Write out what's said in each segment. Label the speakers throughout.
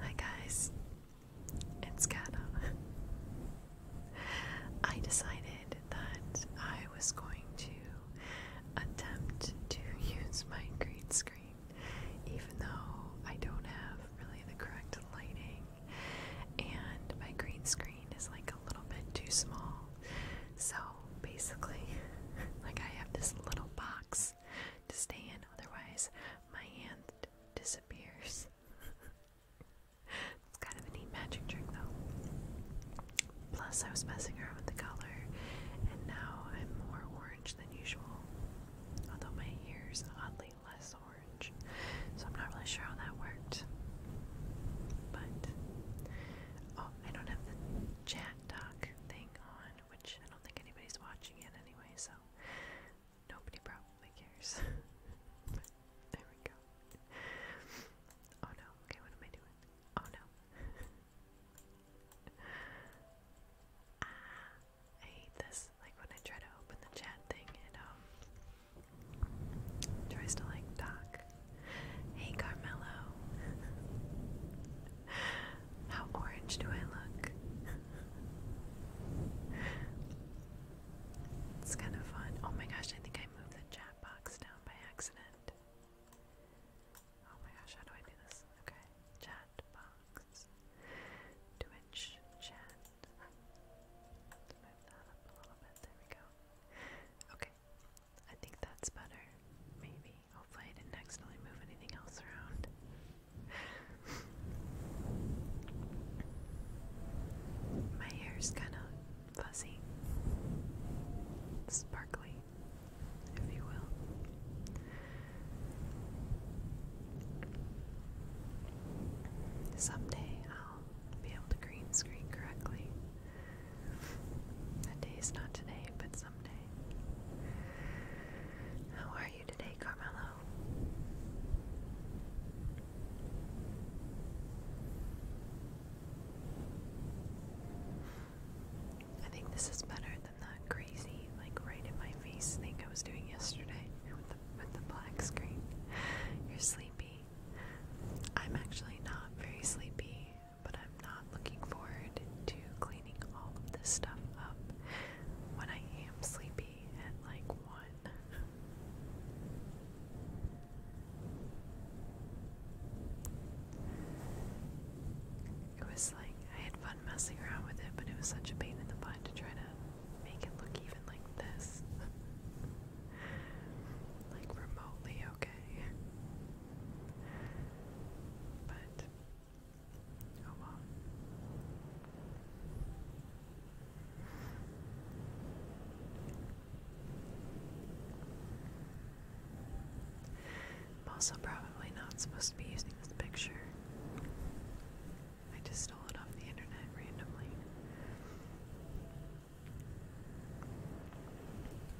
Speaker 1: Hi guys, it's Kata. I decided that I was going to attempt to use my green screen even though I don't have really the correct lighting and my green screen is like a little bit too small. So basically, like I have this little box to stay in, otherwise, my hand disappears. it's kind of a neat magic trick, though. Plus, I was messing around with the color, and now I'm more orange than usual, although my hair's oddly less orange, so I'm not really sure how that worked. But, oh, I don't have the chat doc thing on, which I don't think anybody's watching it anyway, so nobody probably cares. but, there we go. Oh no, okay, what am I doing? Oh no. ah, I hate this. Like when I try to open the chat thing, it um tries to like talk. Hey Carmelo, how orange do I look? It's kind of fun. Oh my gosh, I think I moved the chat box down by accident. Oh my gosh, how do I do this? Okay, chat chat box, Twitch chat. move that up a little bit. There we go. Okay, I think that's better. Maybe. Hopefully, I didn't accidentally move anything else around. My hair's kind of fuzzy, sparkly if you will. Someday I'll be able to green screen correctly. That day is not today, but someday. How are you today, Carmelo? I think this is better than that crazy, like right in my face thing I was doing yesterday with the, with the black screen. You're sleepy. I'm actually not very sleepy, but I'm not looking forward to cleaning all of this stuff up when I am sleepy at like 1. It was like I had messing around with it, but it was such a pain in the butt to try to make it look even like this. like remotely okay. But oh well. I'm also probably not supposed to be using this picture. I just stole it off the internet randomly.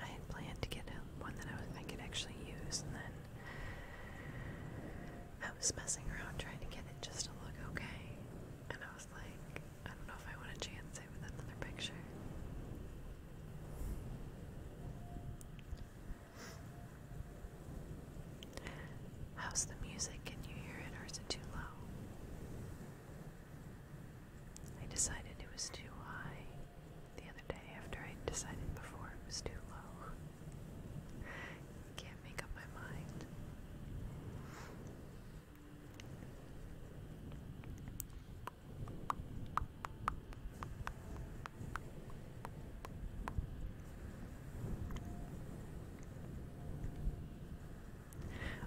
Speaker 1: I had planned to get one that I, was, I could actually use, and then I was messing around trying to get it just to look okay. And I was like, I don't know if I want to chance it with another picture. How's the music? Can you hear it or is it too low? I decided it was too high the other day after I decided before it was too low. Can't make up my mind.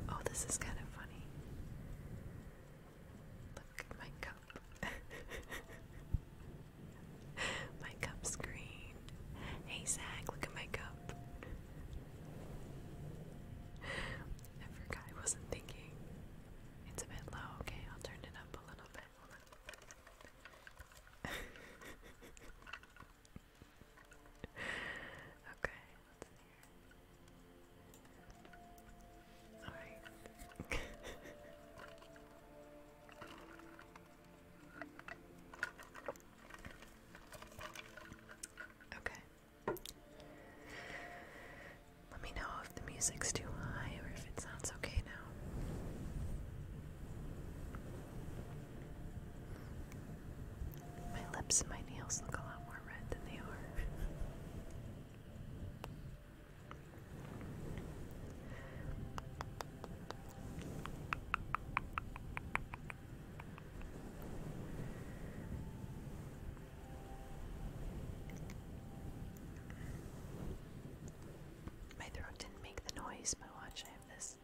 Speaker 1: Oh, this is kind of funny. Look at my cup. my cup's green. Hey, Zach, look at my cup. I forgot I wasn't thinking. It's a bit low. Okay, I'll turn it up a little bit okay, let Alright. okay. Let me know if the music's too high or if it sounds okay now. My lips and my nails look a lot more red than they are. My throat didn't make the noise, but watch, I have this.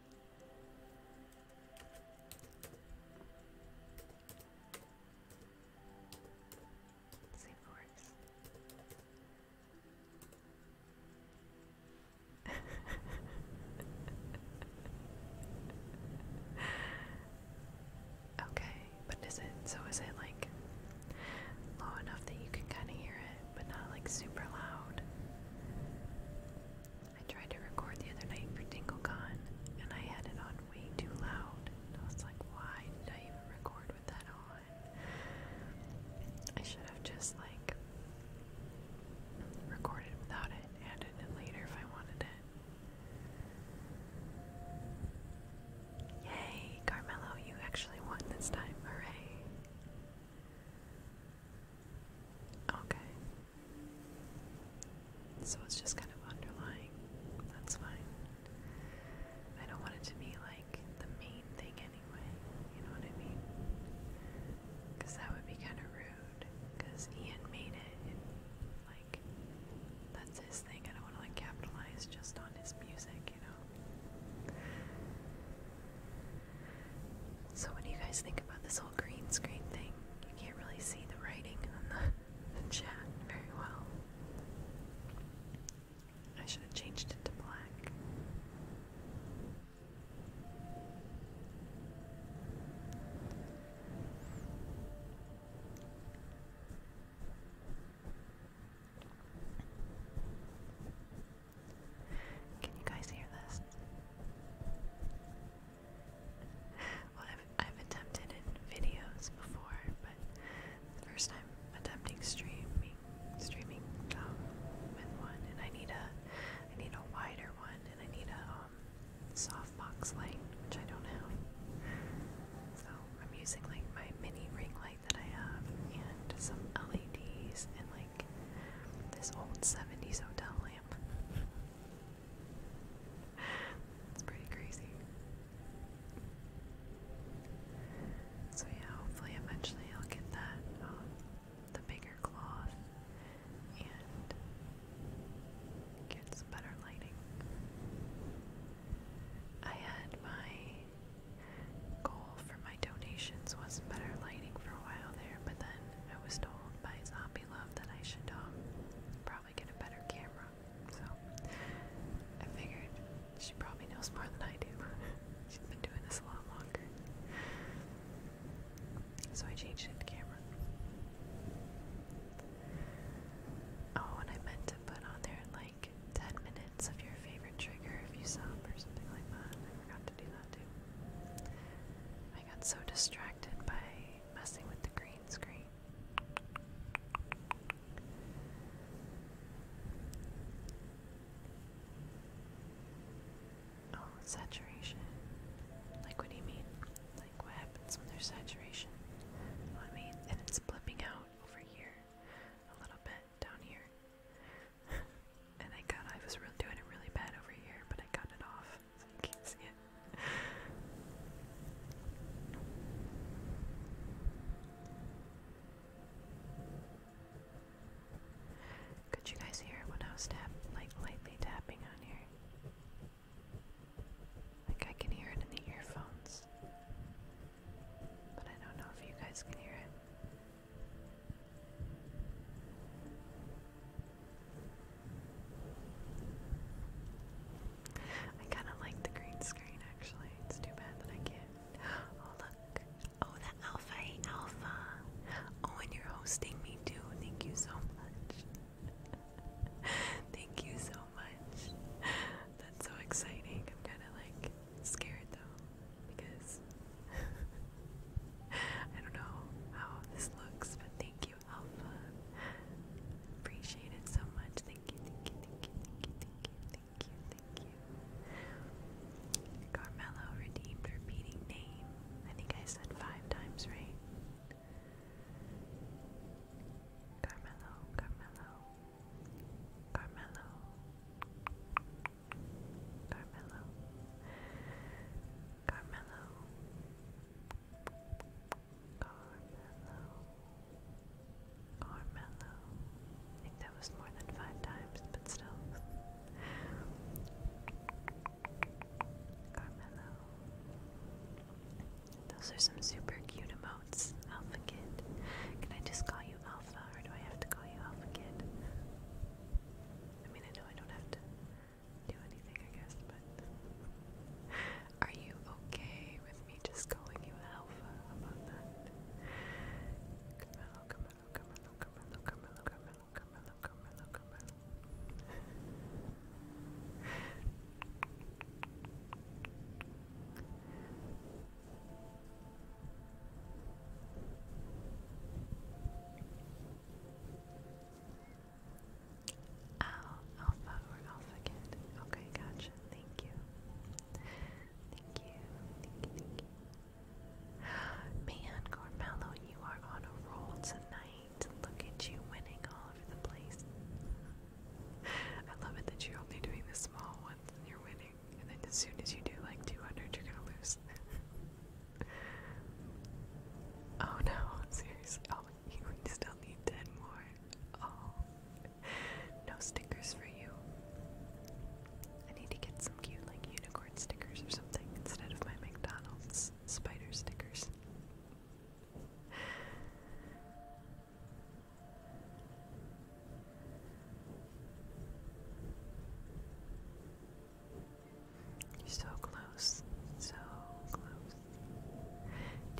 Speaker 1: okay, but is it so? Is it like low enough that you can kind of hear it, but not like super loud. I tried to record the other night for DingleCon, and I had it on way too loud. And I was like, why did I even record with that on? I should have just like recorded without it and added it later if I wanted it. Yay, Carmelo, you actually won this time. Hooray. Okay. So it's just kind of underlying. That's fine. I don't want it to be like the main thing anyway. You know what I mean? Because that would be kind of rude. Because Ian made it. And, like, that's his thing. I don't want to like capitalize just on his music, you know? So, what do you guys think about this whole green screen thing? You can't really see the writing on the, chat very well. I should have changed it to black. Can you guys hear this? I've, attempted videos before, but first time attempting streaming streaming um, with one, and I need a I need a wider one, and I need a um, softbox light, which I don't have. So I'm using like my mini ring light that I have, and some LEDs, and like this old 70s hotel lamp. It's pretty crazy. So yeah, hopefully eventually I'll get that, um, the bigger cloth and get some better lighting. I had my goal for my donations was better lighting for a while there, but then I was told by Zombie Love that I should um, probably get a better camera. So I figured she probably knows more than I do. She's been doing this a lot longer. So I changed it camera. Oh, and I meant to put on there like 10 minutes of your favorite trigger if you sub or something like that. I forgot to do that too. I got so distracted by messing with the green screen. Oh, saturation. Like, what do you mean? Like, what happens when there's saturation? Well, I and it's blipping out over here, a little bit down here and I got I was really doing it really bad over here, but I got it off, can't see it. Could you guys hear when I was tap like lightly tapping on here? Like I can hear it in the earphones. But I don't know if you guys can hear it. I kind of like the green screen actually. It's too bad that I can't. Oh, look. Oh, the Alpha 8 Alpha. Oh, and you're hosting me too. Thank you so much. Thank you so much. That's so exciting. I'm kind of like scared though because I don't know how this looks, but thank you, Alpha. Appreciate it so much. Thank you, thank you, thank you, thank you, thank you, thank you, thank you. Carmelo redeemed repeating name. I think I said five times, right? Carmelo, Carmelo, Carmelo, Carmelo, Carmelo, Carmelo, Carmelo. I think that was more than five times, but still. Carmelo. Those are some super cute emotes, Alpha Kid. Can I just call you Alpha? Alpha, or do I have to call you Alpha Kid? I mean, I know I don't have to do anything, I guess, but. Are you okay with me just calling you Alpha about that? alpha or alpha kid. Okay, gotcha. Thank you. Thank you. Thank you. Thank you. Man, Carmelo, you are on a roll tonight. Look at you winning all over the place. I love it that you're only doing the small ones and you're winning. And then as soon as you do like 200, you're gonna lose. oh no, seriously. Oh, you still need more. Oh. No stickers for you. I need to get some cute, like, unicorn stickers or something instead of my McDonald's spider stickers. You're so close, so close.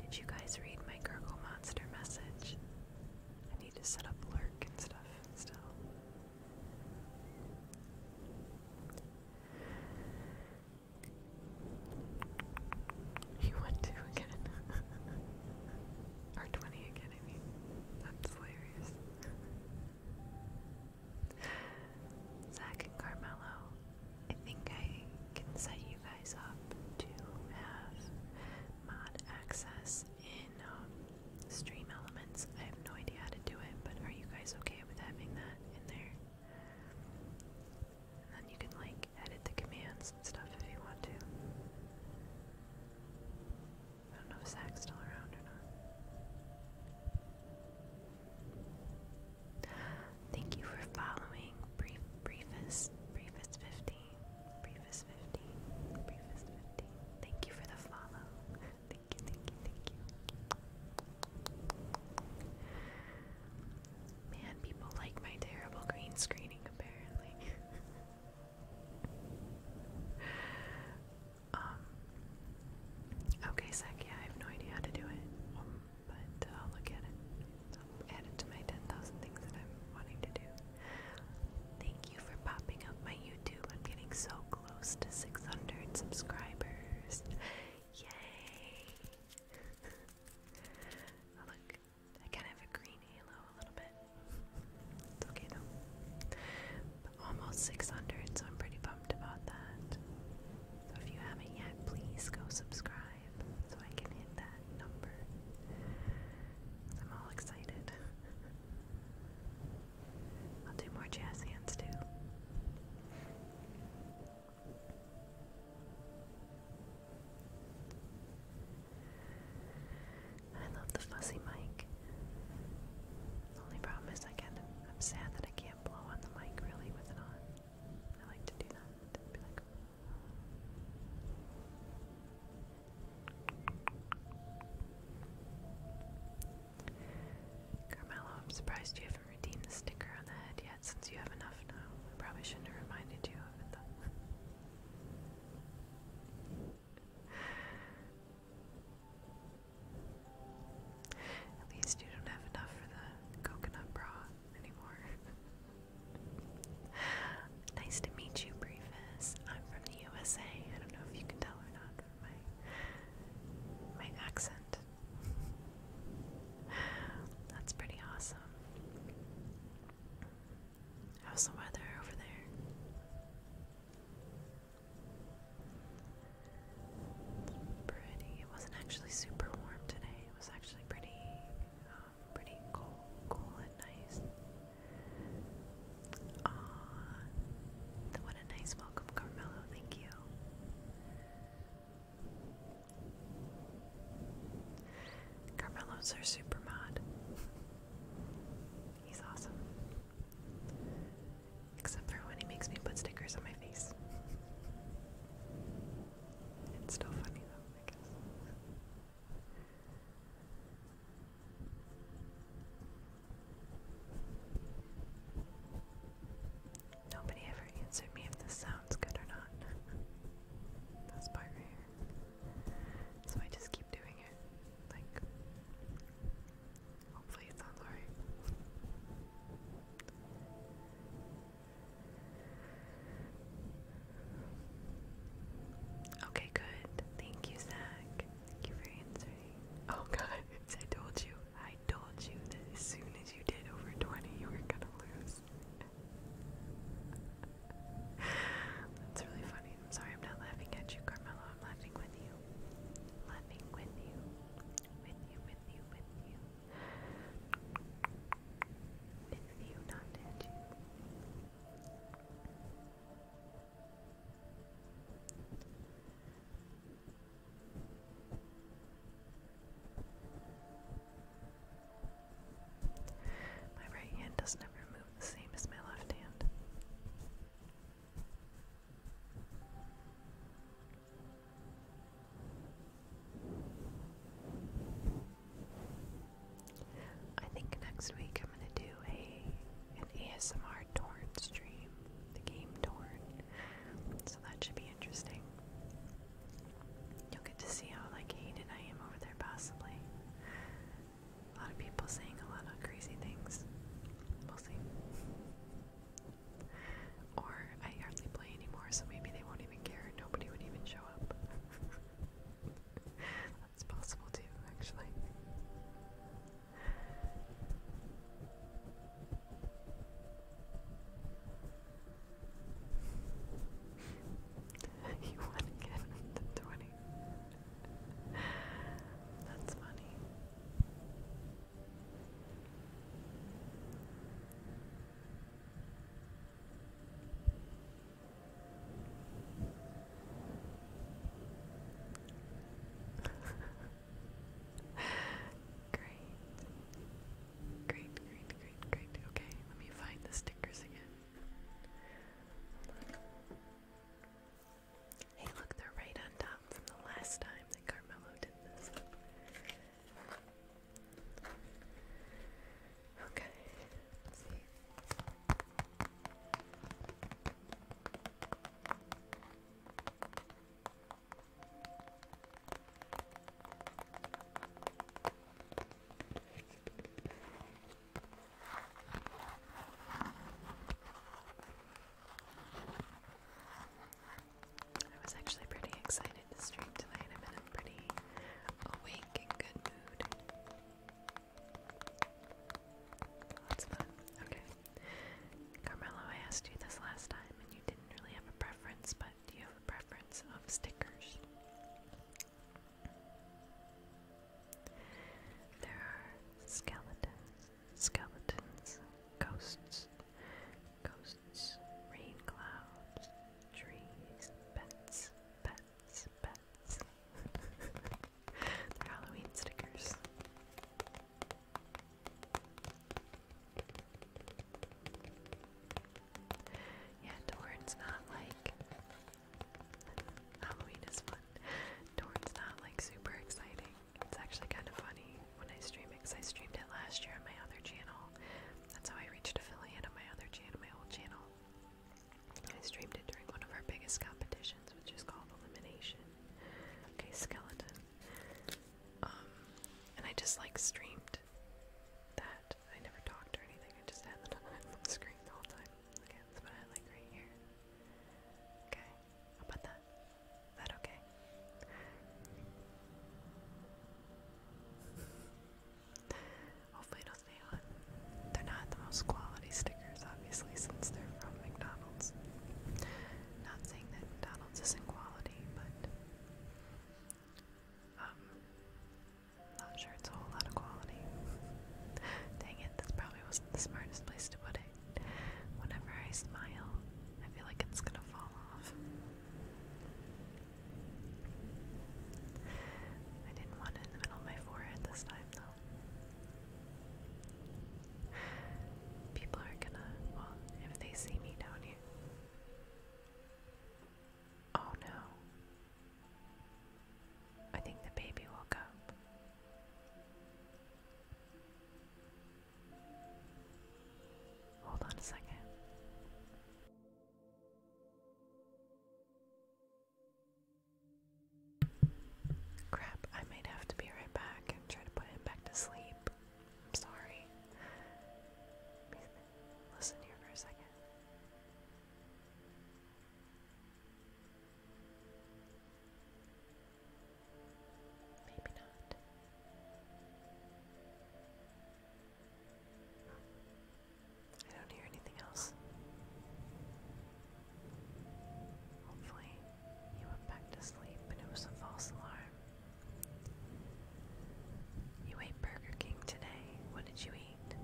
Speaker 1: Did you guys read my Gurgle Monster message? I need to set up lurk and stuff still. You went two again. or 20 again, I mean. That's hilarious. Zach and Carmelo, I think I can set you guys up to have mod access in um, Stream Elements. I have no idea how to do it, but are you guys okay with having that in there? And then you can like edit the commands and stuff if you want to. I don't know if Zach's still around or not. Thank you for following Briefest Briefest 50. Briefest 50. Briefest 50. Thank you for the follow. thank you, thank you, thank you. Man, people like my terrible green screening apparently. Um, okay, sec, I have no idea how to do it, um, but uh, I'll look at it. add it to my 10,000 things that I'm wanting to do. Thank you for popping up my YouTube. I'm getting so close to 600 subscribers. Yay! look, I kind of have a green halo a little bit. It's okay though. almost 600, so I'm pretty pumped about that. So if you haven't yet, please go subscribe so I can hit that number. I'm all excited. I'll do more jazz hands too. I love the fuzzy mic. The only problem is I can I'm sad that I can't blow on the mic really with it on. I like to do that. Carmelo, I'm surprised you haven't redeemed the sticker on the head yet since you have enough now. I probably shouldn't have reminded you of it though. At least you don't have enough for the coconut bra anymore. nice to meet you, Briefus. I'm from the USA. I don't know if you can tell or not from my my accent. That's pretty awesome. How's the weather over there? pretty. It wasn't actually super warm today. It was actually pretty, um, pretty cool, cool and nice. Aww, what a nice welcome, Carmelo. Thank you. Carmelo's our super mod. He's awesome. Except for when he makes me put stickers on my face. It's still funny though, I guess. Nobody ever answered me if this sounds good or not. That's part right here. So I just keep doing it. Like Hopefully, it sounds alright. Okay, good. Thank you, Zach. Thank you for answering. Oh, guys, I told you. I told you that as soon as you did over 20, you were gonna lose. That's really funny. I'm sorry I'm not laughing at you, Carmelo. I'm laughing with you. Laughing with you, with you, with you, with you. With you, not at you. My right hand doesn't ever move the same as my left hand. I think next week I'm gonna do a an ASMR Torn stream, the game Torn. So that should be interesting. You'll get to see how like hated I am over there possibly a lot of people saying a lot of crazy things. We'll see. Or I hardly play anymore, so maybe they won't even care. Nobody would even show up. That's possible too, actually. you won again with the 20. That's funny. great. Great, great, great, great. Okay, let me find the stickers again. Hey, look, they're right on top from the last time that Carmelo did this. Okay, see. I was actually pretty excited to stream tonight. I'm in a pretty awake and good mood. That's fun. Okay. Carmelo, I asked you this last time and you didn't really have a preference, but do you have a preference of stickers? There are skeletons skeletons, ghosts, ghosts, rain clouds, trees, pets, pets, pets. They're Halloween stickers. Yeah, Dorn's not like Halloween is fun. Torn's not like super exciting. It's actually kind of funny when I stream it I streamed it last year on my other channel. That's how I reached affiliate on my other channel, my old channel. I streamed it during one of our biggest competitions, which is called Elimination. Okay, skeleton. Um, and I just like streamed that. I never talked or anything, I just had the screen the whole time. Okay, that's what I like right here. Okay about that? Is that okay? Hopefully it'll stay on. They're not the most quality stickers, obviously, since they're from McDonald's. Not saying that McDonald's isn't quality, but um, not sure it's a whole lot of quality. Dang it, this probably wasn't the smartest place to put it. Whenever I smile, I feel like it's gonna fall off. I didn't want it in the middle of my forehead this time, though. People are gonna, well, if they see me down here. Oh no. I think the baby woke up. Hold on a second. Crap, I might have to be right back and try to put him back to sleep. I'm sorry. Listen here for a second. Maybe not. I don't hear anything else. Hopefully, you went back to sleep and it was a false alarm. You ate Burger King today. What did you eat?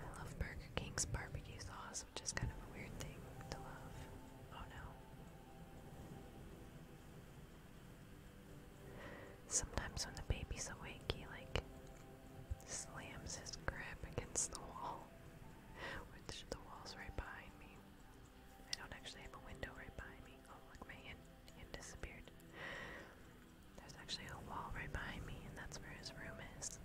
Speaker 1: I love Burger King's barbecue sauce, which is kind of a weird thing to love. Oh no. Sometimes when the baby's awake, he like slams his grip against the wall, which the wall's right behind me. I don't actually have a window right behind me. Oh, look, my hand disappeared. There's actually a wall right behind me, and that's where his room is.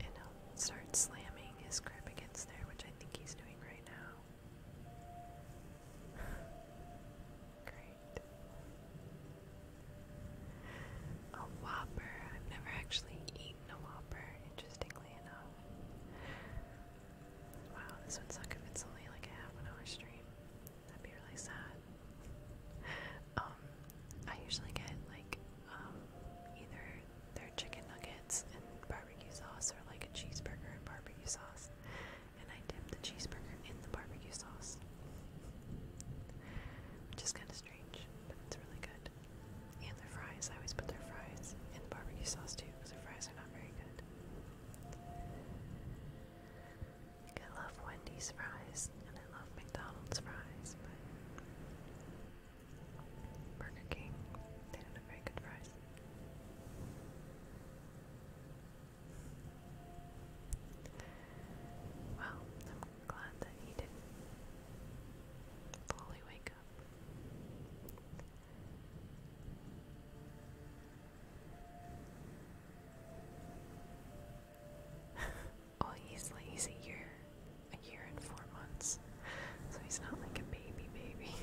Speaker 1: And he'll start slamming his grip against there, which I think he's doing right now. Great. A Whopper. I've never actually eaten a Whopper, interestingly enough. Wow, this would suck if it's only like half an hour stream. That'd be really sad. Um, I usually get like um, either their chicken nuggets and barbecue sauce or like a cheeseburger and barbecue sauce. And I dip the cheeseburger in the barbecue sauce. Which is kind of strange, but it's really good. And their fries, I always put their fries in the barbecue sauce too, because their fries are not very good. I love Wendy's fries and I love McDonald's fries, but Burger King, they don't have very good fries. Well, I'm glad that he didn't fully wake up. Oh, he's like he's a year, and four months, so he's not like a baby baby.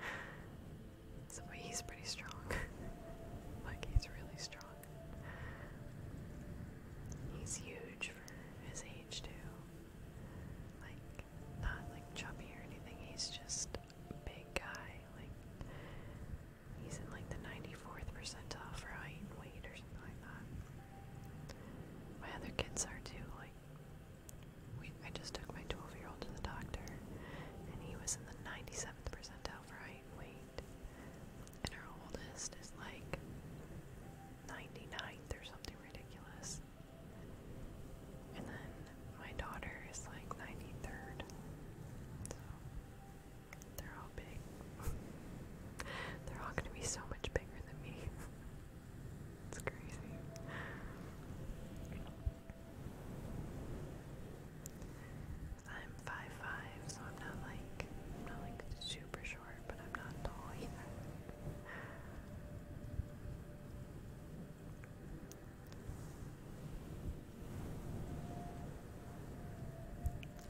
Speaker 1: so he's pretty strong. like he's really strong. He's huge for his age too. Like not like chubby or anything. He's just a big guy. Like He's in like the 94th percentile for height and weight or something like that. My other kids are too. Like, we, I just took my 12 year old to the doctor, and he was in the 97th percentile for height and weight. And our oldest is like 99th or something ridiculous. And then my daughter is like 93rd. They're all big. They're all gonna be so much bigger than me. it's crazy. I'm five five, so I'm not like not like super short, but I'm not tall either.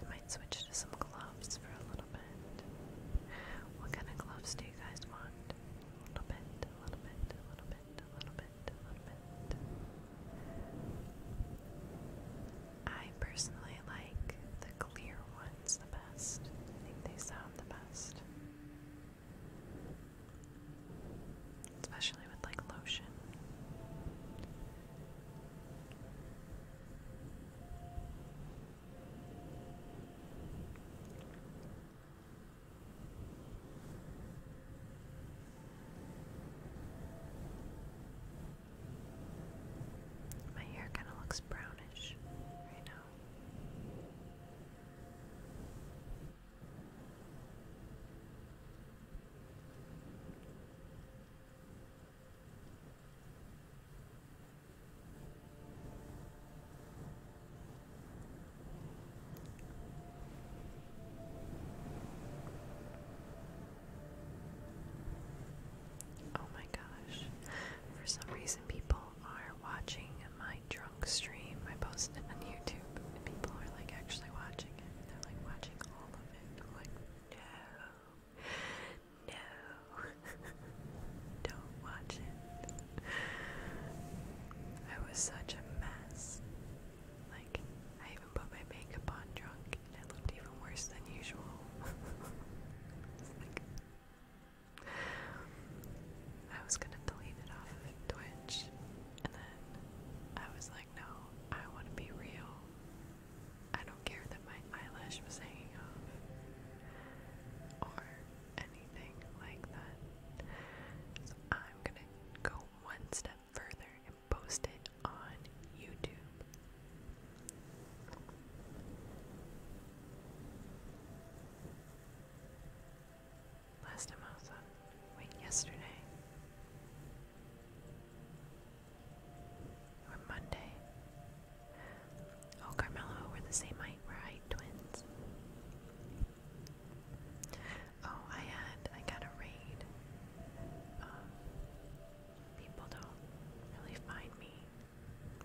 Speaker 1: I might switch to some gloves gloves for a little bit. What kind of gloves do you guys want? A little bit, a little bit, a little bit, a little bit, a little bit. I personally like the clear ones the best. I think they sound the best. Especially with like lotion. My hair kind of looks brownish right now. Oh my gosh. For some reason, people are watching my drunk stream. I posted it on YouTube, and people are like actually watching it. They're like watching all of it. like, no. No, don't watch it. I was such a mess. Like, I even put my makeup on drunk and it looked even worse than usual. like, I was gonna delete it off of Twitch and then I was like, no, I want to be real. I don't care that my eyelash was hanging off or anything like that. So I'm gonna go one step further and post it on YouTube. Last time I was wait, yesterday, or Monday. Oh, Carmelo, we're the same height. We're height twins. Oh, I had, I got a raid. Um, people don't really find me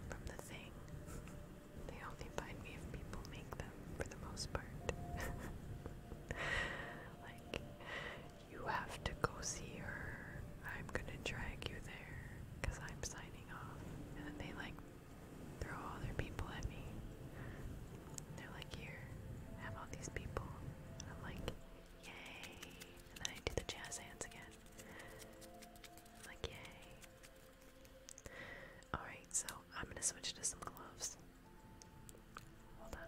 Speaker 1: from the thing. They only find me if people make them, for the most part. like, you have to go see her. I'm gonna drag you there because I'm signing off. And then they like throw all their people at me. They're like, here, have all these people. And I'm like, yay. And then I do the jazz hands again. like, yay. Alright, so I'm gonna switch to some gloves. Hold on.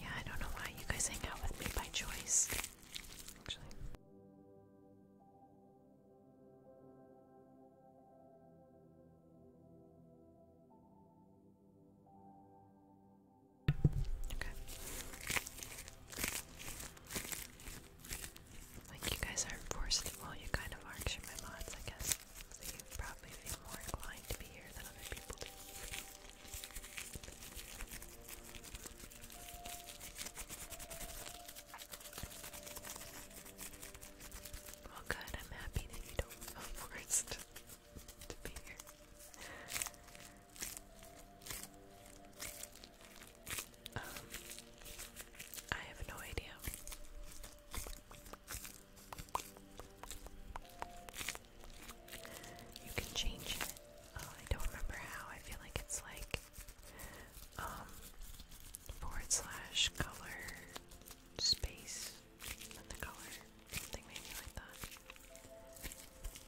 Speaker 1: Yeah, I don't know why you guys hang out with me by choice, actually. Okay. Like you guys aren't forced to, well you kind of are because my mods I guess. So you probably feel more inclined to be here than other people do. Well good, I'm happy that you don't feel forced to be here. Um, I have no idea. You can change it. Oh, I don't remember how. I feel like it's like um, forward slash color space and the color. Something maybe like that.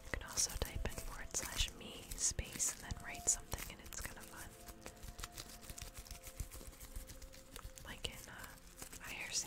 Speaker 1: You can also type in forward slash me space and then write something and it's kind of fun like in uh, IRC.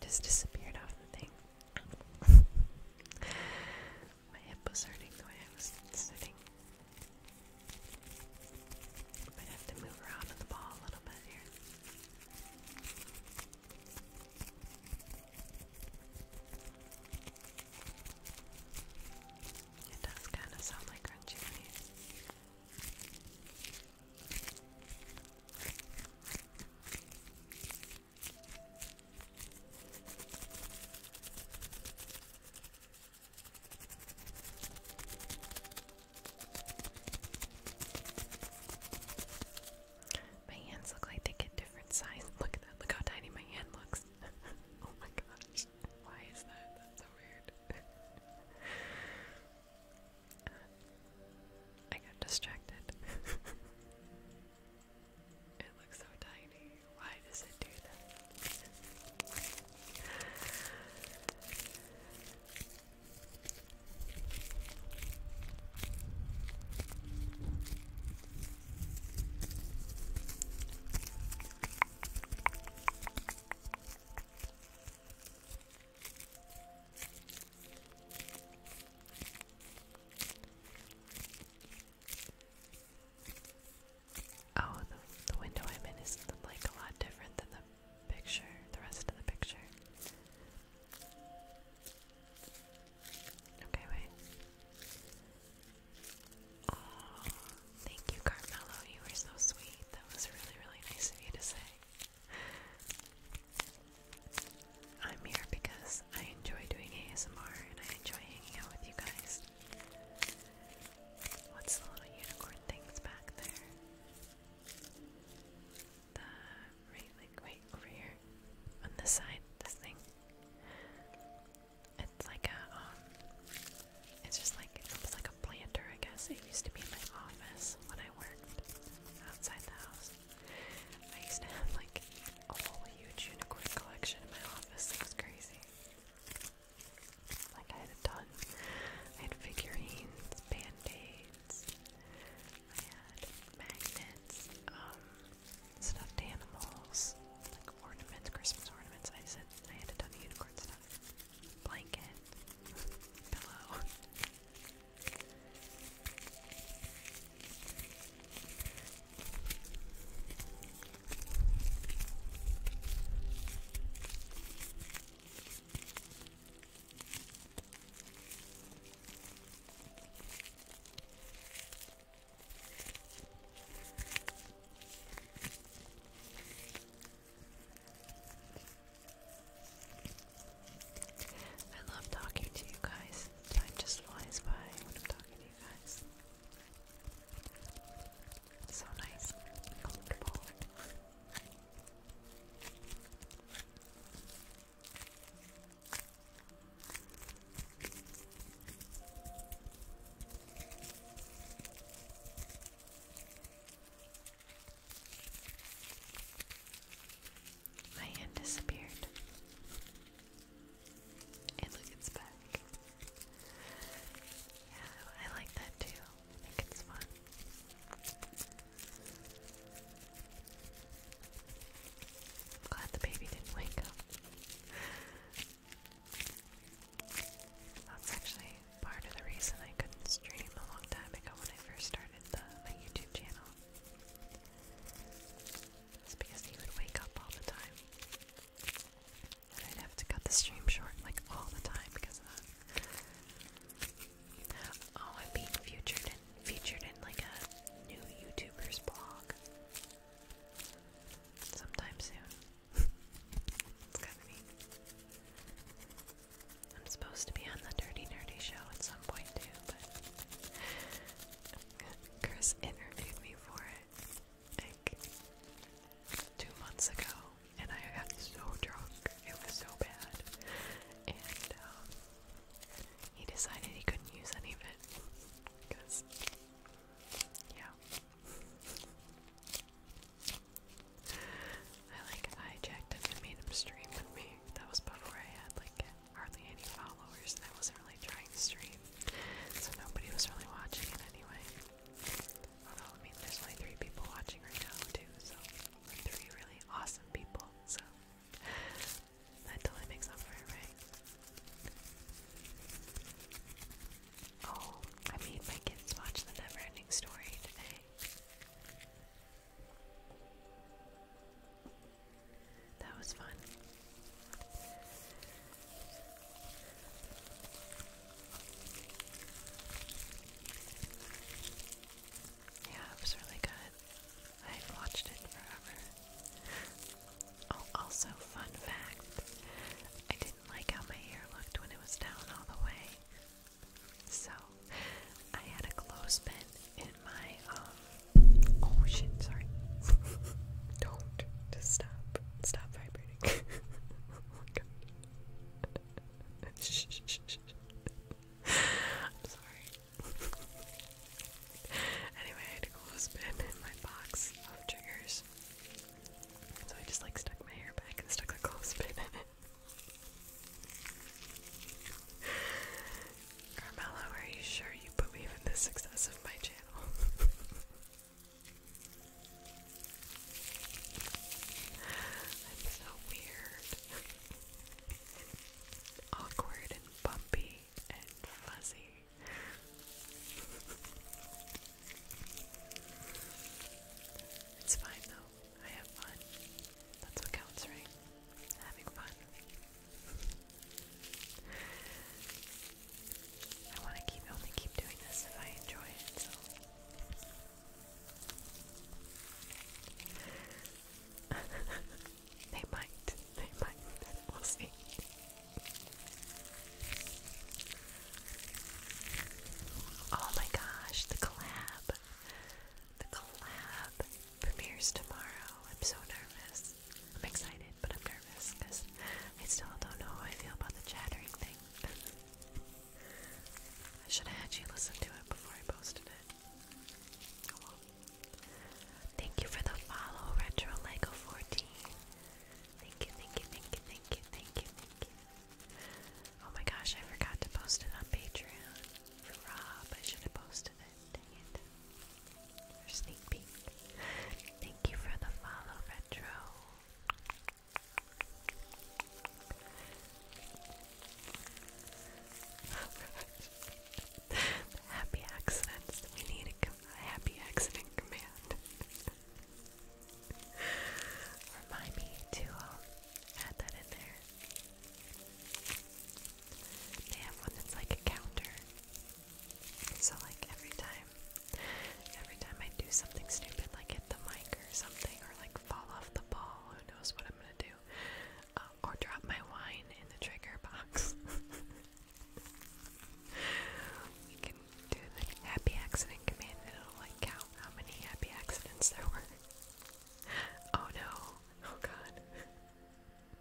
Speaker 1: Just disappeared off the My hip was hurting the way I was sitting. Might have to move around on the ball a little bit here. It does kind of sound like crunchy my hands look like they get different size. Look at that. Look how tiny my hand looks. oh my gosh. Why is that? That's so weird. I got distracted. it looks so tiny. Why does it do that? Oh, the, window I'm in is like a lot different than the picture, the rest of the picture. Okay, wait. Aw, thank you, Carmelo. You were so sweet. That was really, really nice of you to say. I'm here because I enjoy doing ASMR and I enjoy hanging out with you guys. What's the little unicorn things back there? The right, like, wait, over here. On this side, this thing. It's like a, um, it's just like it's almost like a planter, I guess. It used to be in my office when I worked outside the house. I used to have like a whole huge unicorn collection in my office. It was crazy. Like I had a ton. I had figurines, band-aids, I had magnets, um, stuffed animals, like ornaments, Christmas ornaments. I said I had a ton of unicorns blanket, pillow. I love talking to you guys. Time just flies by when I'm talking to you guys. so nice comfortable. My hand disappeared. And look, back. Yeah, I like that too. I think it's fun. I'm glad the baby didn't wake up. That's actually part of the reason I couldn't stream a long time ago when I first started the, my YouTube channel. It's because he would wake up all the time. And I'd have to cut the stream short like all the time because of that. Oh, I'm being featured in featured in like a new YouTuber's blog. Sometime soon. I'm supposed to be on the Dirty Nerdy show at some point too, but Chris interviewed me for it two months ago, and I got so drunk. It was so bad, and um, he decided he couldn't use any of it because, yeah. I like hijacked him and made him stream with me. That was before I had like hardly any followers and I wasn't really trying to stream. So nobody was really watching it anyway. I mean there's only three people watching right now too, so three really awesome people, so that totally makes up for right? Oh, I made my kids watch the never ending story today. That was fun. Yeah, it was really good. I had watched it forever. Oh, also, fun fact I didn't like how my hair looked when it was down all the way. So I had a clothespin in my um oh sorry. Don't just stop. Stop vibrating. shh, shh, shh, sorry. anyway, I had a clothespin in my box of triggers. So I just like stuck my hair back and stuck a clothespin in it. Carmelo, are you sure you believe in the success of my channel? I'm so weird. Awkward and bumpy and fuzzy. It's fine though. I have fun. That's what counts, right? Having fun. I want to keep only keep doing this if I enjoy it. So they might. They might. We'll see. Oh my gosh, the collab. The collab premieres tomorrow. I'm so nervous. I'm excited, but I'm nervous because I still don't know how I feel about the chattering thing. I should have had you listen to it before I posted it. Thank you for the follow, Retro Lego 14. Thank you, thank you, thank you, thank you, thank you, thank you. Oh my gosh, I forgot to post it on Patreon for Rob. I should have posted it. Dang it. sneak peek. Thank you for the follow, Retro. happy accidents. We need a happy accident command. Remind me to uh, add that in there. They have one that's like a counter. So like every time every time I do something stupid like hit the mic or something or like fall off the ball, who knows what I'm gonna do. Uh, or drop my wine in the trigger box. we can do the happy accident command and it'll like count how many happy accidents there were. Oh no. Oh god.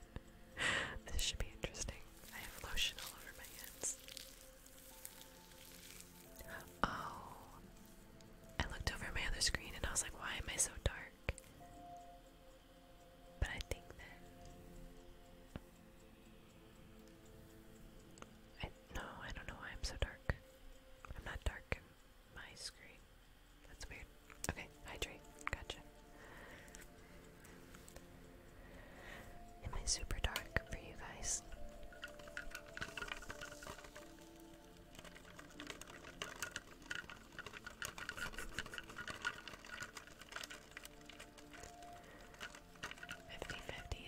Speaker 1: this should be interesting. I have lotion all over my hands. Oh. I looked over my other screen and I was like, why am I so dark? But I think that. no, I don't know why I'm so dark. I'm not dark my screen. That's weird. Okay, hydrate. Gotcha. Am I super dark for you guys? 50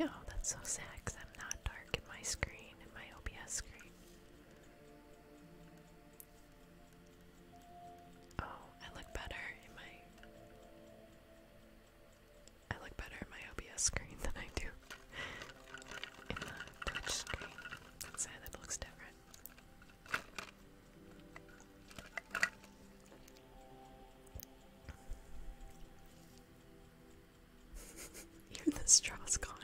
Speaker 1: Oh, that's so sad because I'm not dark in my screen, in my OBS screen. Oh, I look better in my... I look better in my OBS screen than I do in the Twitch screen. That's sad, that looks different. Here, the straw's gone.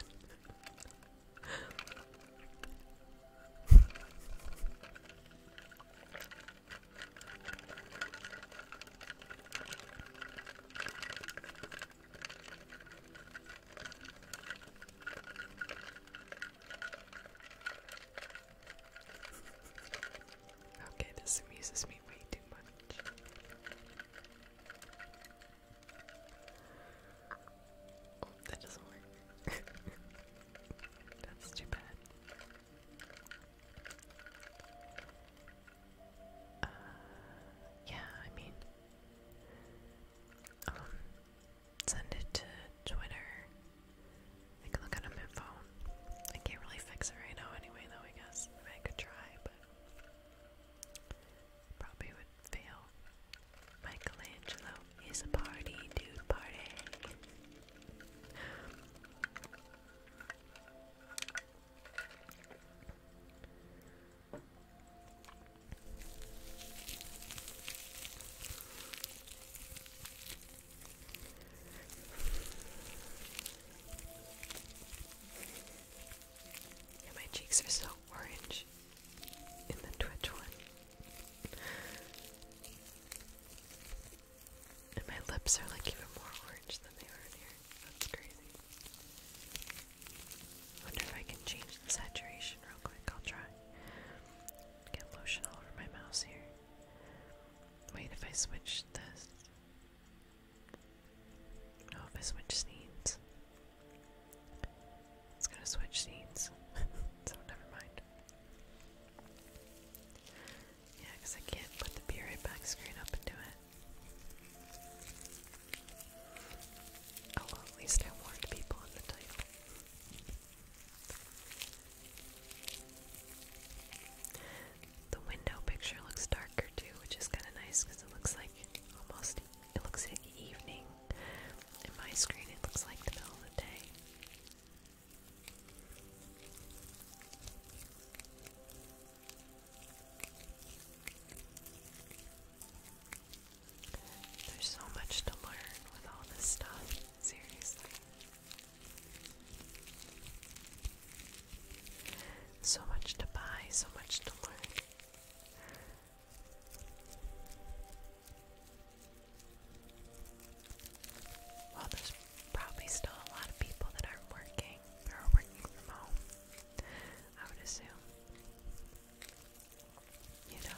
Speaker 1: Okay, this amuses me way too much that doesn't work. That's too bad. Uh, yeah, I mean, um, send it to Twitter. I can look at my phone. I can't really fix it right now anyway, though, I guess. I could try, but Probably would fail. Michelangelo is a party, dude, party my cheeks are so orange in the Twitch one. And my lips are like even more orange than they were in here. That's crazy. Wonder if I can change the saturation real quick. I'll try. Get lotion all over my mouse here. Wait, if I switch this. Oh, if I switch scenes. It's gonna switch scenes. so, never mind. Yeah, because I can't put the period back screen up and it. Oh, at least I warned people in the title. The window picture looks darker too, which is kind of nice because it looks like almost it looks like evening. In my screen it looks like the middle of the day. There's so much to learn with all this stuff, seriously. So much to buy, so much to learn. Well, there's probably still a lot of people that aren't working or are working from home, I would assume. You know?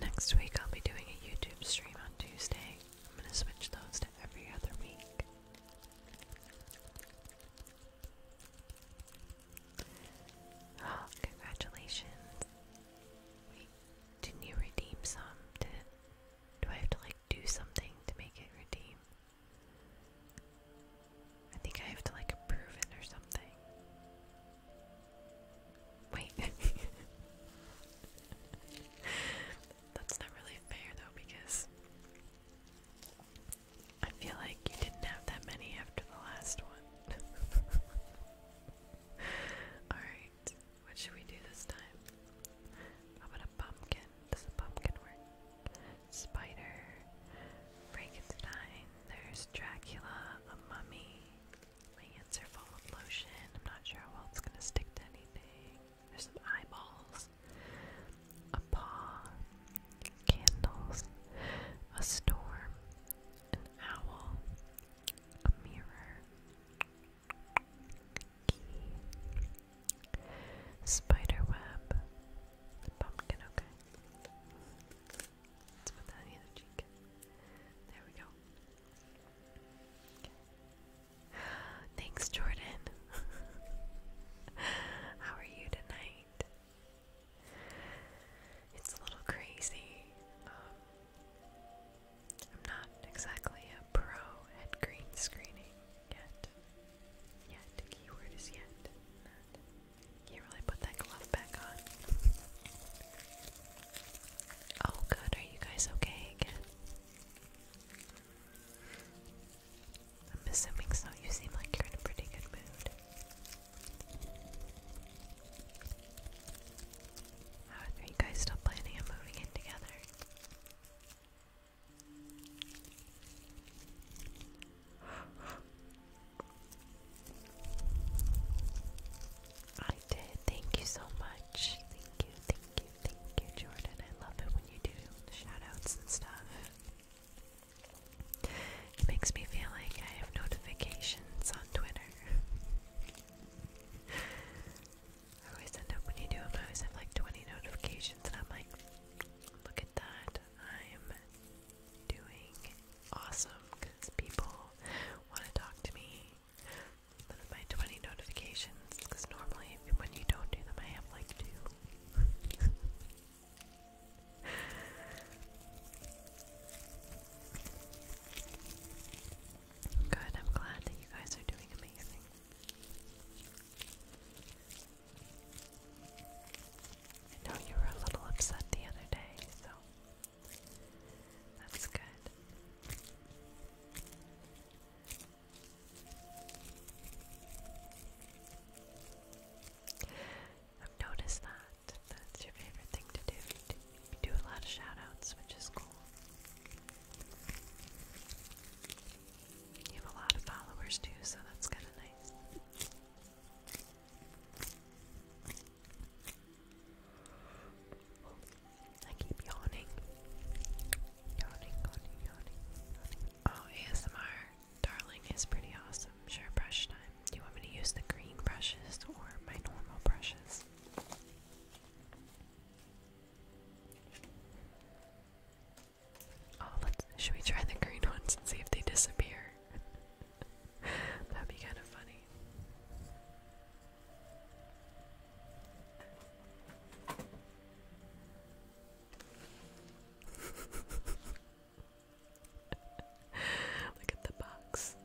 Speaker 1: Next week, I'll be doing a YouTube stream on Tuesday. I'm going to switch those to every other week. Oh, congratulations. did you redeem some? Did do I have to like do something to make it redeem? I think I have to like approve it or something. Wait. That's not really fair though, because I feel like you didn't have that many after the last one. Alright, what should we do this time? about a pumpkin? Does a pumpkin work? Spider, Frankenstein, there's Dracula, a mummy. My hands are full of lotion. I'm not sure how well it's gonna stick to anything. There's some eyeballs, a paw, candles, a storm, an owl, a mirror, spider web, pumpkin. Okay. Let's put that on the cheek. There we go. Thanks, Jordan. How are you tonight? It's a little crazy. Um, I'm not exactly a pro at green screening yet. Yet, keyword is yet can really put that glove back on. Oh, good. Are you guys okay again? I'm assuming so. You seem like you're in a pretty good mood. are you guys still planning on moving in together? I did. Thank you so much. Thank you, thank you, thank you, Jordan. I love it when you do shoutouts and stuff. It makes me feel like I have notifications on Twitter. I always end up when you do I always have like 20 notifications, and I'm like, look at that. I'm doing awesome because people want to talk to me. One of my 20 notifications, because normally when you don't do them, I have like two. Good, I'm glad that you guys are doing amazing. I know you were a little upset the other day, so that's good. I've noticed that. That's your favorite thing to do. You do a lot of shout which is cool. You have a lot of followers too, so that's kind of nice. I keep yawning. Yawning, yawning, yawning, Oh, ASMR, darling, is pretty awesome. Sure, brush time. Do you want me to use the green brushes or my normal brushes? Oh, let's. Should we try the green ones and see if they disappear? That'd be kind of funny. Look at the box.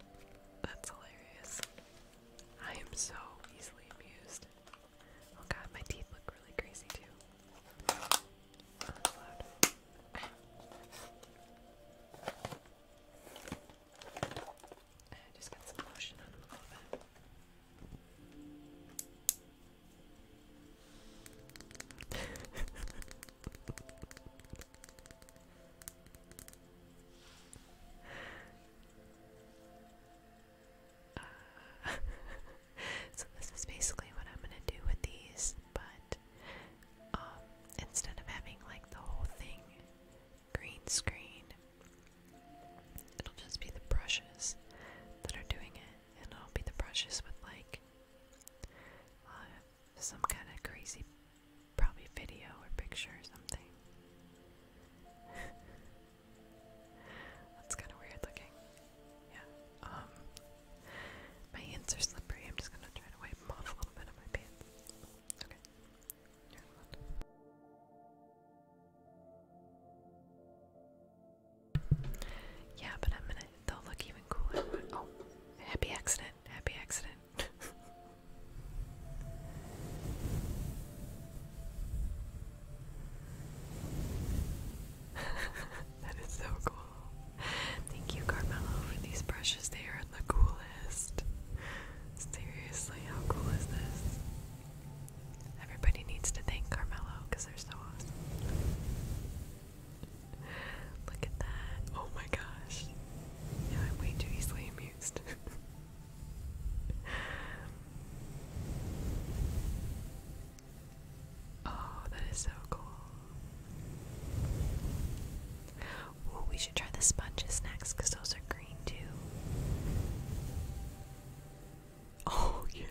Speaker 1: That's hilarious. I am so easily amused. Oh god, my teeth look really crazy too. I just got some lotion on so this is basically what I'm gonna do with these, but um, instead of having like the whole thing green screen. It'll just be the brushes that are doing it, and it'll be the brushes with like uh, some kind of crazy, probably video or picture or something. That's kind of weird looking. Yeah. Um, my hands are slippery. I'm just gonna try to wipe off a little bit on my pants. Yeah, but I'm They'll look even cooler. Oh, happy accident! Happy accident. that is so cool. Thank you, Carmelo, for these brushes. They are the coolest. Seriously, how cool is this? Everybody needs to thank Carmelo because they're so awesome. Look at that. Oh my gosh. Yeah, I'm way too easily amused. oh, that is so cool. Ooh, we you should try the sponges next because those are green too. Oh, yeah.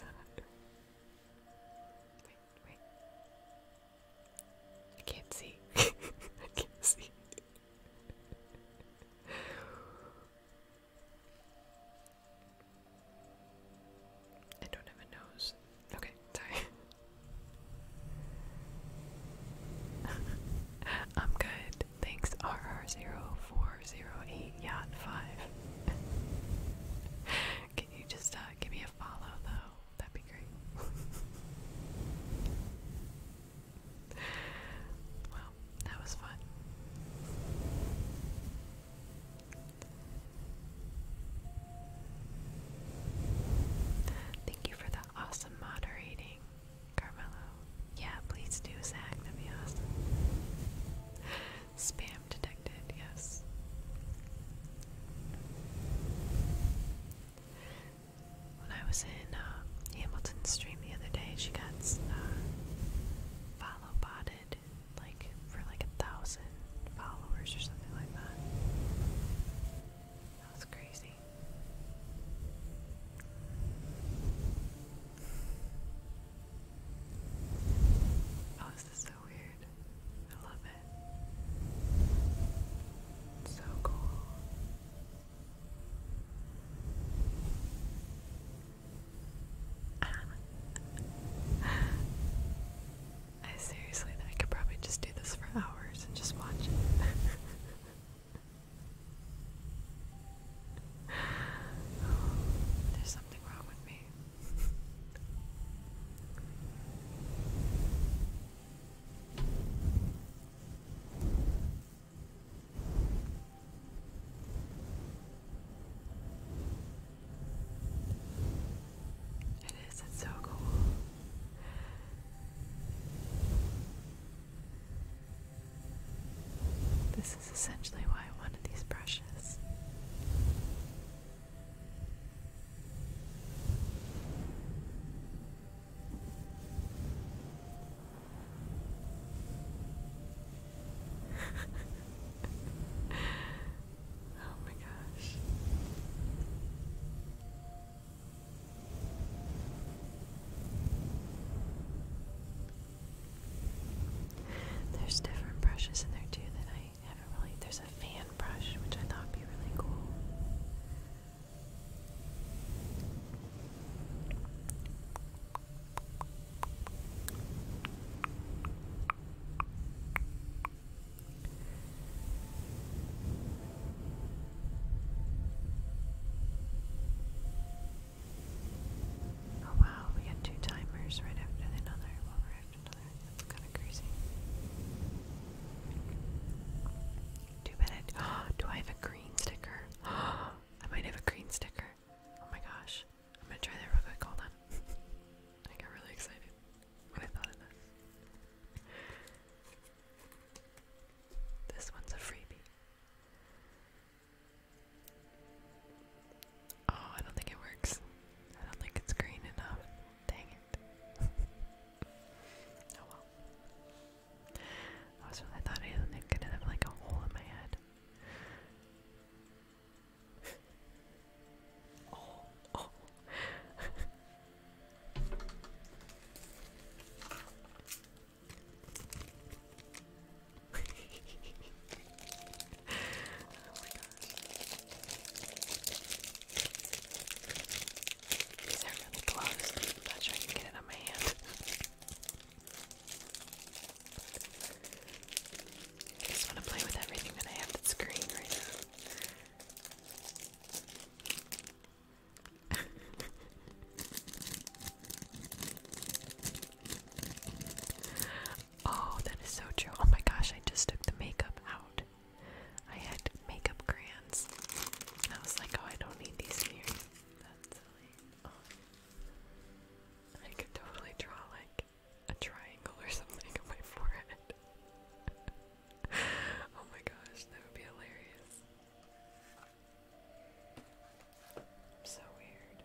Speaker 1: Wait, wait. I can't see. I can't see. I don't have a nose. Okay, sorry. I'm good. Thanks, R 4088 Yacht 5. Can you just uh, give me a follow, though? That'd be great. well, that was fun. Thank you for the awesome moderating. Carmelo. Yeah, please do, Zach. That'd be awesome. Spam detected, yes. When I was in uh, stream the other day, she got uh, follow botted like for like a thousand followers or something like that. That was crazy. Oh, this is so weird. I love it. so cool. I seriously, I could probably just do this for hours and just watch it. There's something wrong with me. It is, it's so cool. This is essentially why I wanted these brushes. oh my gosh. There's different brushes in there too that I haven't really. There's a fan brush which I thought would be really cool. Oh wow, we got two timers right after another, right after another. kind of crazy. Too bad I do I have a green sticker? I might have a green sticker. Oh my gosh. I'm gonna try that real quick. Hold on. I got really excited when I thought of this. This one's a freebie. Oh, I don't think it works. I don't think it's green enough. Dang it. oh well. I was really thought I was gonna have like a hole in my head. oh, oh. my gosh. These are really close. not sure I can get it on my hand. just want to play with everything that I have that's green right now. oh, that is so true. Oh my gosh, I just took the makeup out. I had makeup crayons. And I was like, oh, I don't need these here. That's silly. Oh. I could totally draw like a triangle or something on my forehead. oh my gosh, that would be hilarious. So weird.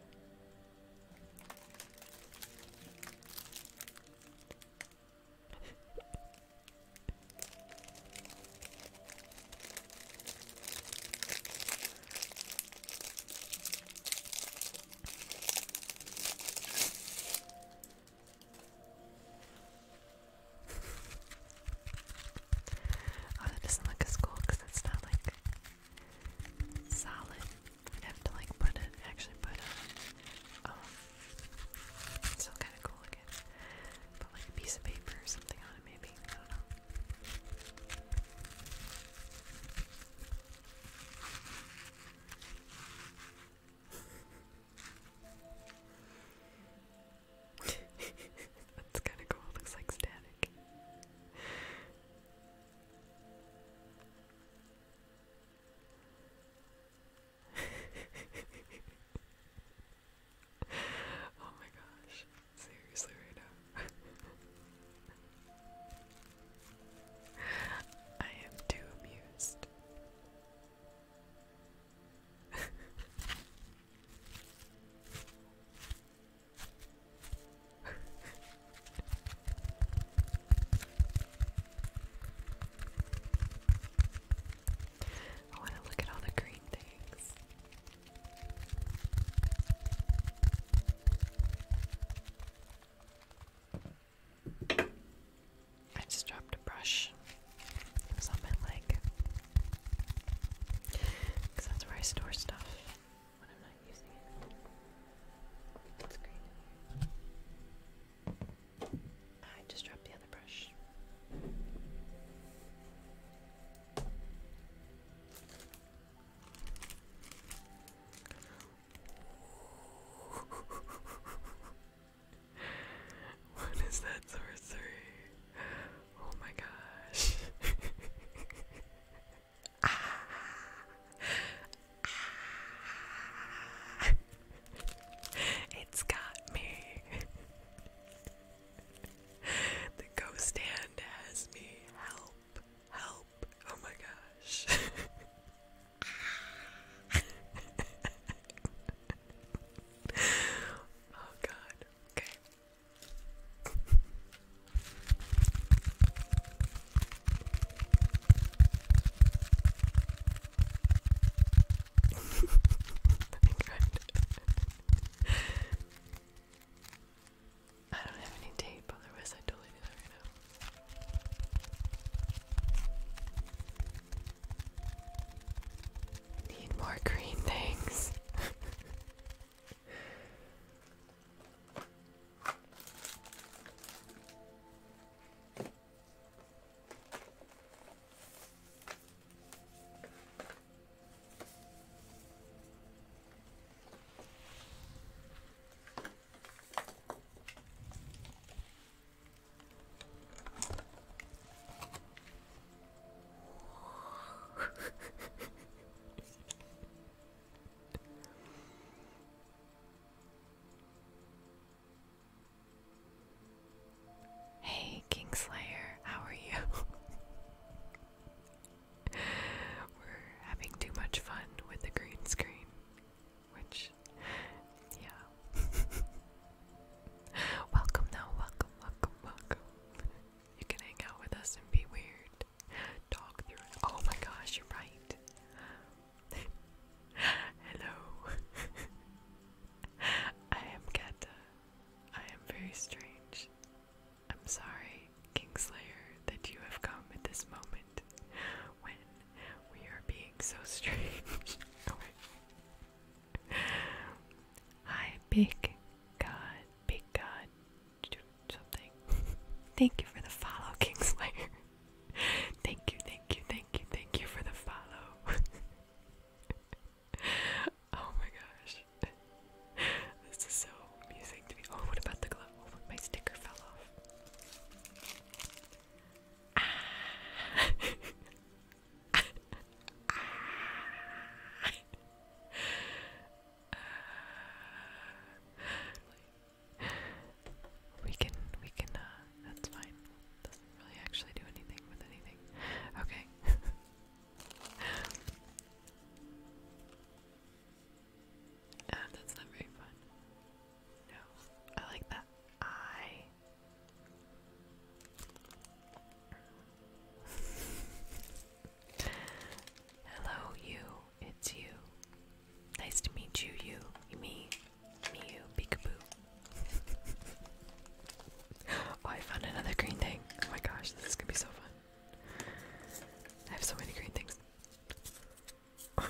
Speaker 1: Oh, that doesn't look as cool because it's not like solid. I'd have to like put it, actually put a, oh, still kind of cool again. Put like a piece of paper or something on it maybe, I don't know. That's kind of cool. looks like static. oh my gosh. Seriously, right now. I am too amused. I want to look at all the green things. I just dropped a brush. It was on my leg. Because that's where I store stuff when I'm not using it. It's green. I just dropped the other brush. what is that three? Oh my gosh. It's got me. the ghost hand has me. Help. Help. Oh my gosh. oh god. Okay. I don't have any tape, otherwise I totally do that right now. Need more green things hey, Kingslayer, how are you? We're having too much fun with the green screen, which, yeah. welcome now, welcome, welcome, welcome. You can hang out with us and be weird. Talk through Oh my gosh, you're right. Hello. I am Kata. I am very strange. I'm sorry, Kingslayer, that you have come at this moment when we are being so strange. Hi, big god, big god, something. thank you for the follow, Kingslayer. thank you, thank you, thank you, thank you for the follow. oh my gosh. This is so amusing to me. Oh, what about the glove? Oh, my sticker fell off. Ah. We can, we can, uh, that's fine. Doesn't really actually do anything with anything. Okay. uh, that's not very fun. No, I like that. I. Hello, you. It's you. Nice to meet you, you. Me. Me, you. Peekaboo. oh, I found another green thing. Oh my gosh, this is gonna be so fun. I have so many green things.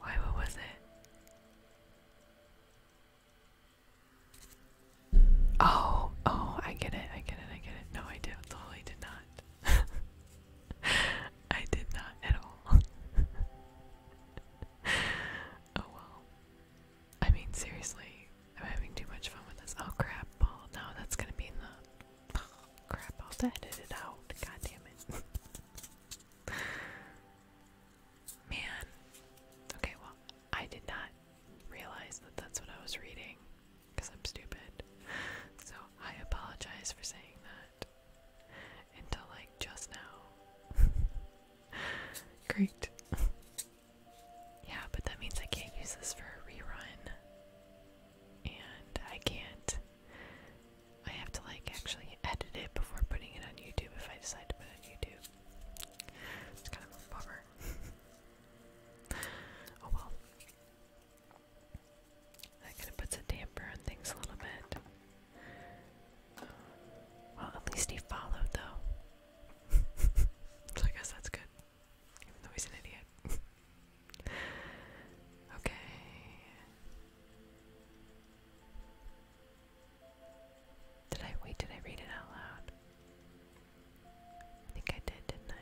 Speaker 1: Why, what was it? Oh, oh, I get it, I get it, I get it. No, I did, totally did not. I did not at all. oh well. I mean, seriously, I'm having too much fun with this. Oh crap, ball. No, that's gonna be in crap, I'll have to edit it out. God damn it. Man. Okay, well, I did not realize that that's what I was reading because I'm stupid. So I apologize for saying that until like just now. Great. Yeah, but that means I can't use this for a rerun and I can't. I have to like actually edit it before putting it on YouTube if I decide to put it on YouTube. It's kind of a bummer. oh well. That kind of puts a damper on things a little bit. well, at least he followed though. so I guess that's good. Even though he's an idiot. okay. Did I wait? Did I read it out loud? I think I did, didn't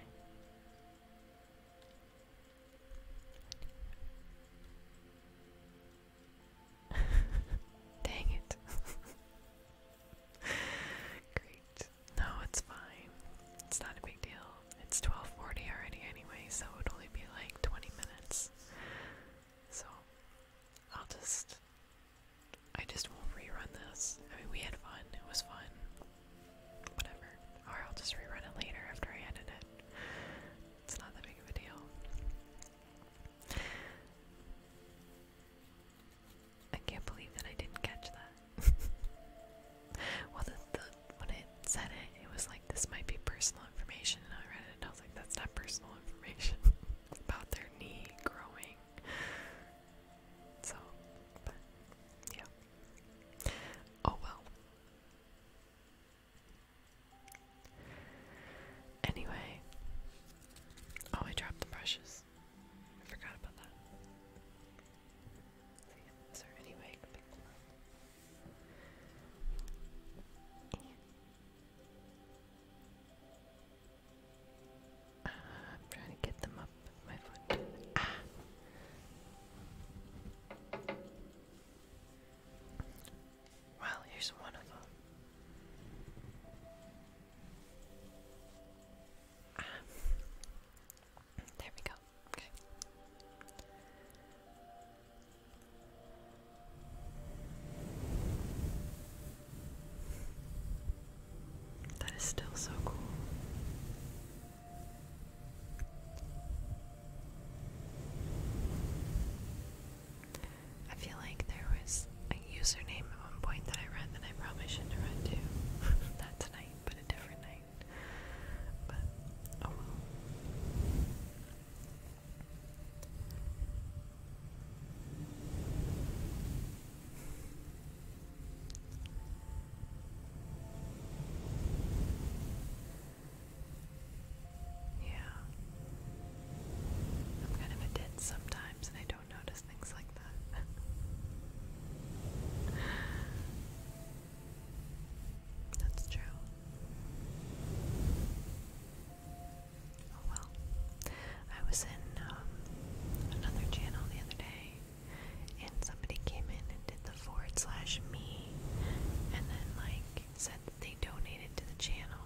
Speaker 1: I? Dang it. Great. No, it's fine. It's not a big deal. It's 1240 already anyway, so it would only be like 20 minutes. So, I'll just... I just won't rerun this. I mean, we had fun. It was fun. Whatever. Or I'll just rerun it later after I edit it. It's not that big of a deal. I can't believe that I didn't catch that. well, when it said it, it was like, this might be personal information, and I read it, I was like, that's not personal information. about their knee growing. So, yeah. Oh well. Anyway, oh, I dropped the brushes. I forgot about that. I am trying to get them up with my foot. Ah. Well, here's one of them. Ah. There we go. Okay. That is still so cool. I feel like there was a username at one point that I read that I probably shouldn't read too. Not tonight, but a different night. But oh Yeah. I'm kind of a ditz sometimes and I don't notice things like that. That's true. Oh well. I was in um, another channel the other day, and somebody came in and did the forward slash me, and then like said that they donated to the channel.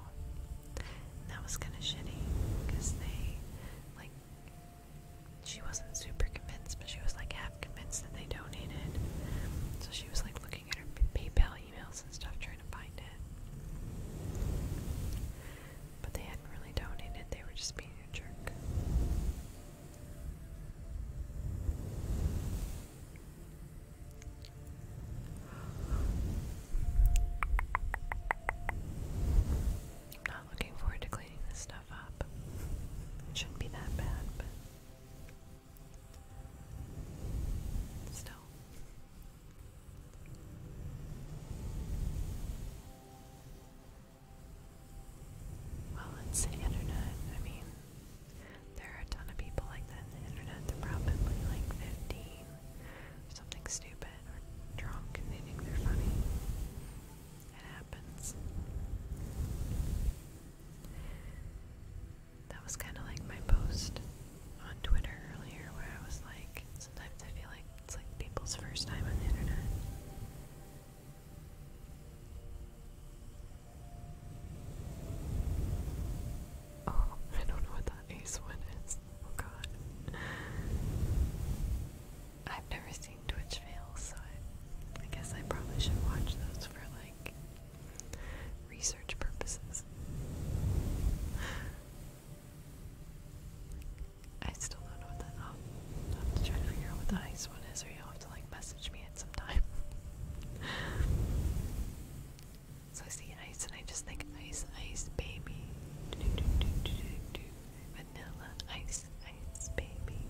Speaker 1: that was kind of shitty because they like she wasn't super convinced, but she was like half convinced that they donated. So she was like looking at her PayPal emails and stuff trying to find it. But they hadn't really donated, they were just being a jerk. I'm not looking forward to cleaning this it shouldn't be that bad, but still. Well, it's the internet. I mean, there are a ton of people like that in the internet. They're probably like 15, something stupid, or drunk and they funny. It happens. That was kind of like my post on Twitter earlier where I was like, sometimes I feel like it's like people's first time on the internet. Oh, I don't know what that ace one is. Oh god. I've never seen Twitch fails, so I, guess I probably should watch those for like research purposes. I still don't know what that. i i have to try to figure out what the ice one is, or you'll have to like message me at some time. so I see ice, and I just think ice, ice, baby. Vanilla Ice Ice Baby.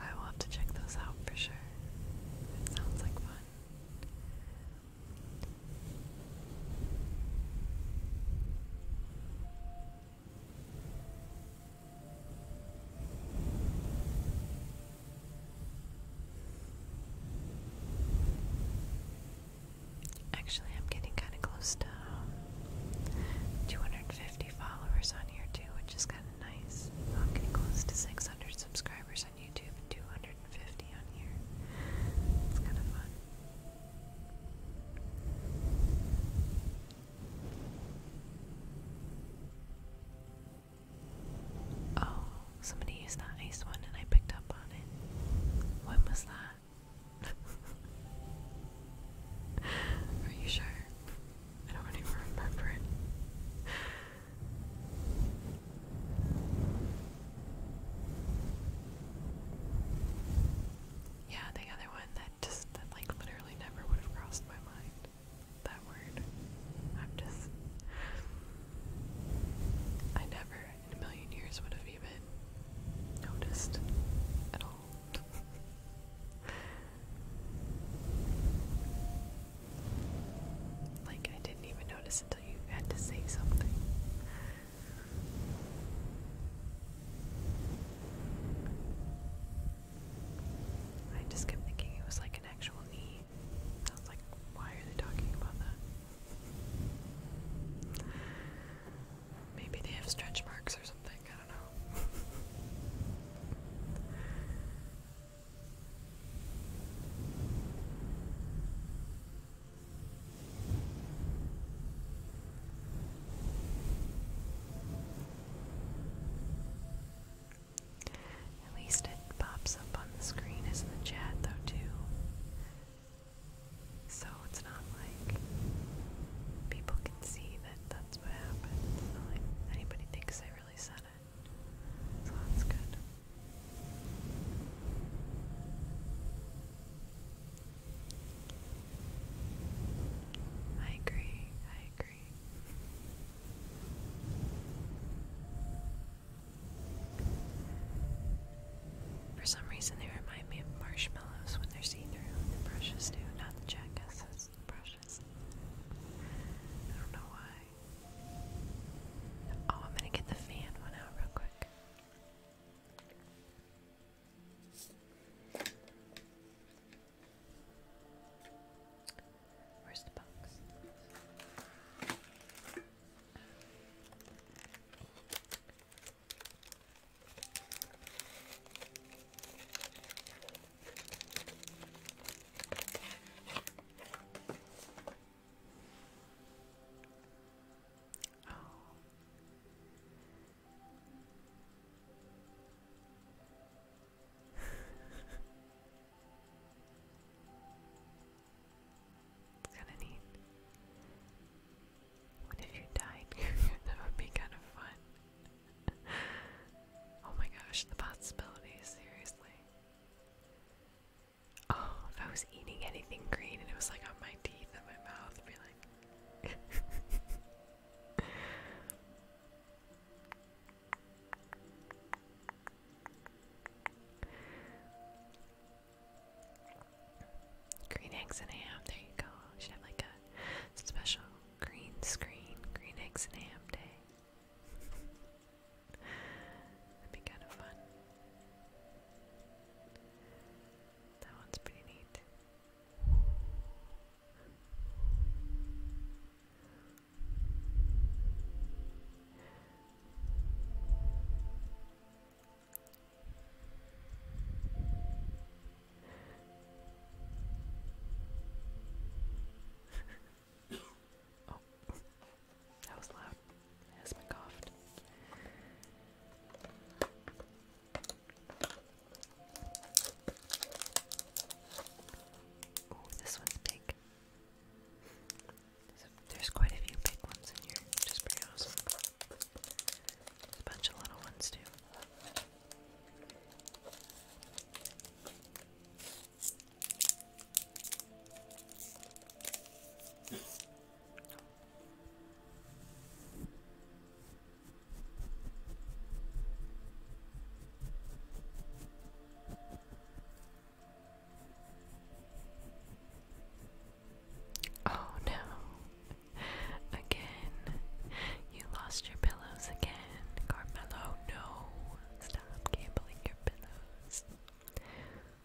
Speaker 1: I will to check those out for sure. It sounds like fun. Actually, I'm getting kind of close to um, 250 followers on here too, which is kind of nice. I'm getting close to 600 subscribers, on YouTube and 250 on here. It's kind of fun. Oh, somebody used that ice one and I picked up on it. When was that? Are you sure? I don't even remember it. Yeah, the other one that just that like literally never would have crossed my mind. That word. I'm just I never in a million years would have even noticed at all. like I didn't even notice until you had to say something. I just kept thinking it was like an actual knee. I like, why are they talking about that? Maybe they have stretch marks or something, I don't know. At least it pops up on the screen as in the chat, though, too. So it's not like people can see that that's what happened. It's like anybody thinks I really said it. So that's good. I agree, I agree. For some reason, they remind me of marshmallows when they're see through. The brushes do, not the jackasses, brushes. I don't know why. Oh, I'm gonna get the fan one out real quick. Where's the box? Oh. kind of neat. What if you died? that would be kind of fun. oh my gosh, the possibilities, seriously. Oh, if I was eating anything green and it was like on my teeth and my mouth, I'd be like. green eggs and ham, there you go. should have like a special green screen, green eggs and ham day. That'd be kind of fun. That one's pretty neat. Oh. That was loud. Esma coughed. Oh, this one's big. there's quite a few big ones in here, which is a bunch of little ones too. Oh no. Again. You lost your pillows again, Carmelo. No. Stop gambling your pillows.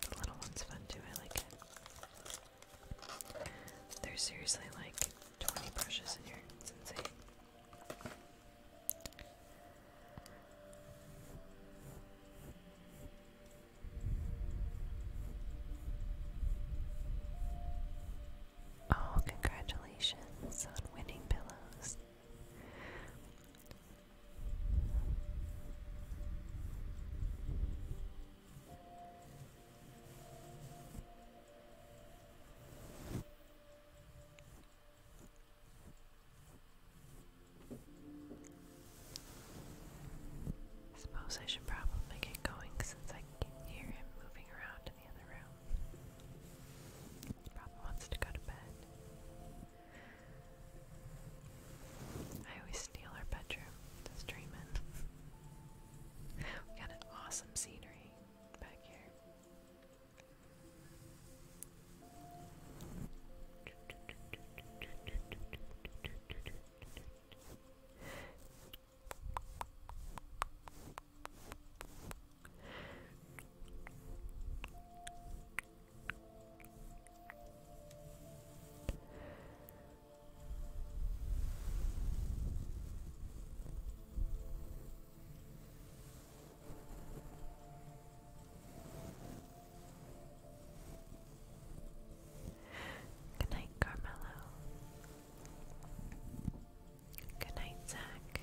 Speaker 1: The little one's fun too, I like it. There's seriously like 20 brushes in here, it's insane. Oh, congratulations on winning pillows. I suppose I should probably get going since I can hear him moving around probably wants to go to bed. I always steal our bedroom to stream we got an awesome scenery back here. Good night, Carmelo. Good night, Zach.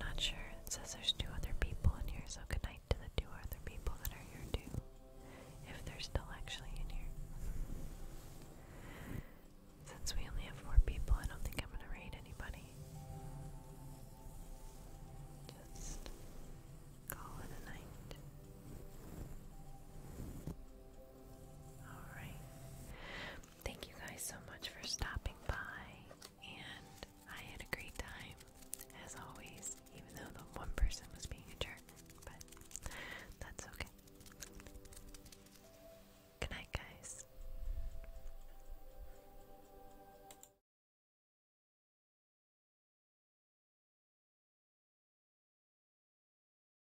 Speaker 1: Not sure. It says there's two other people in here, so good night to the two other people that are here too. If they're still actually in here. Since we only have four people, I don't think I'm gonna raid anybody. Just call it a night. Thank you guys so much for stopping by, and I had a great time, as always, even though the one person was being a jerk, but that's okay. Good night, guys.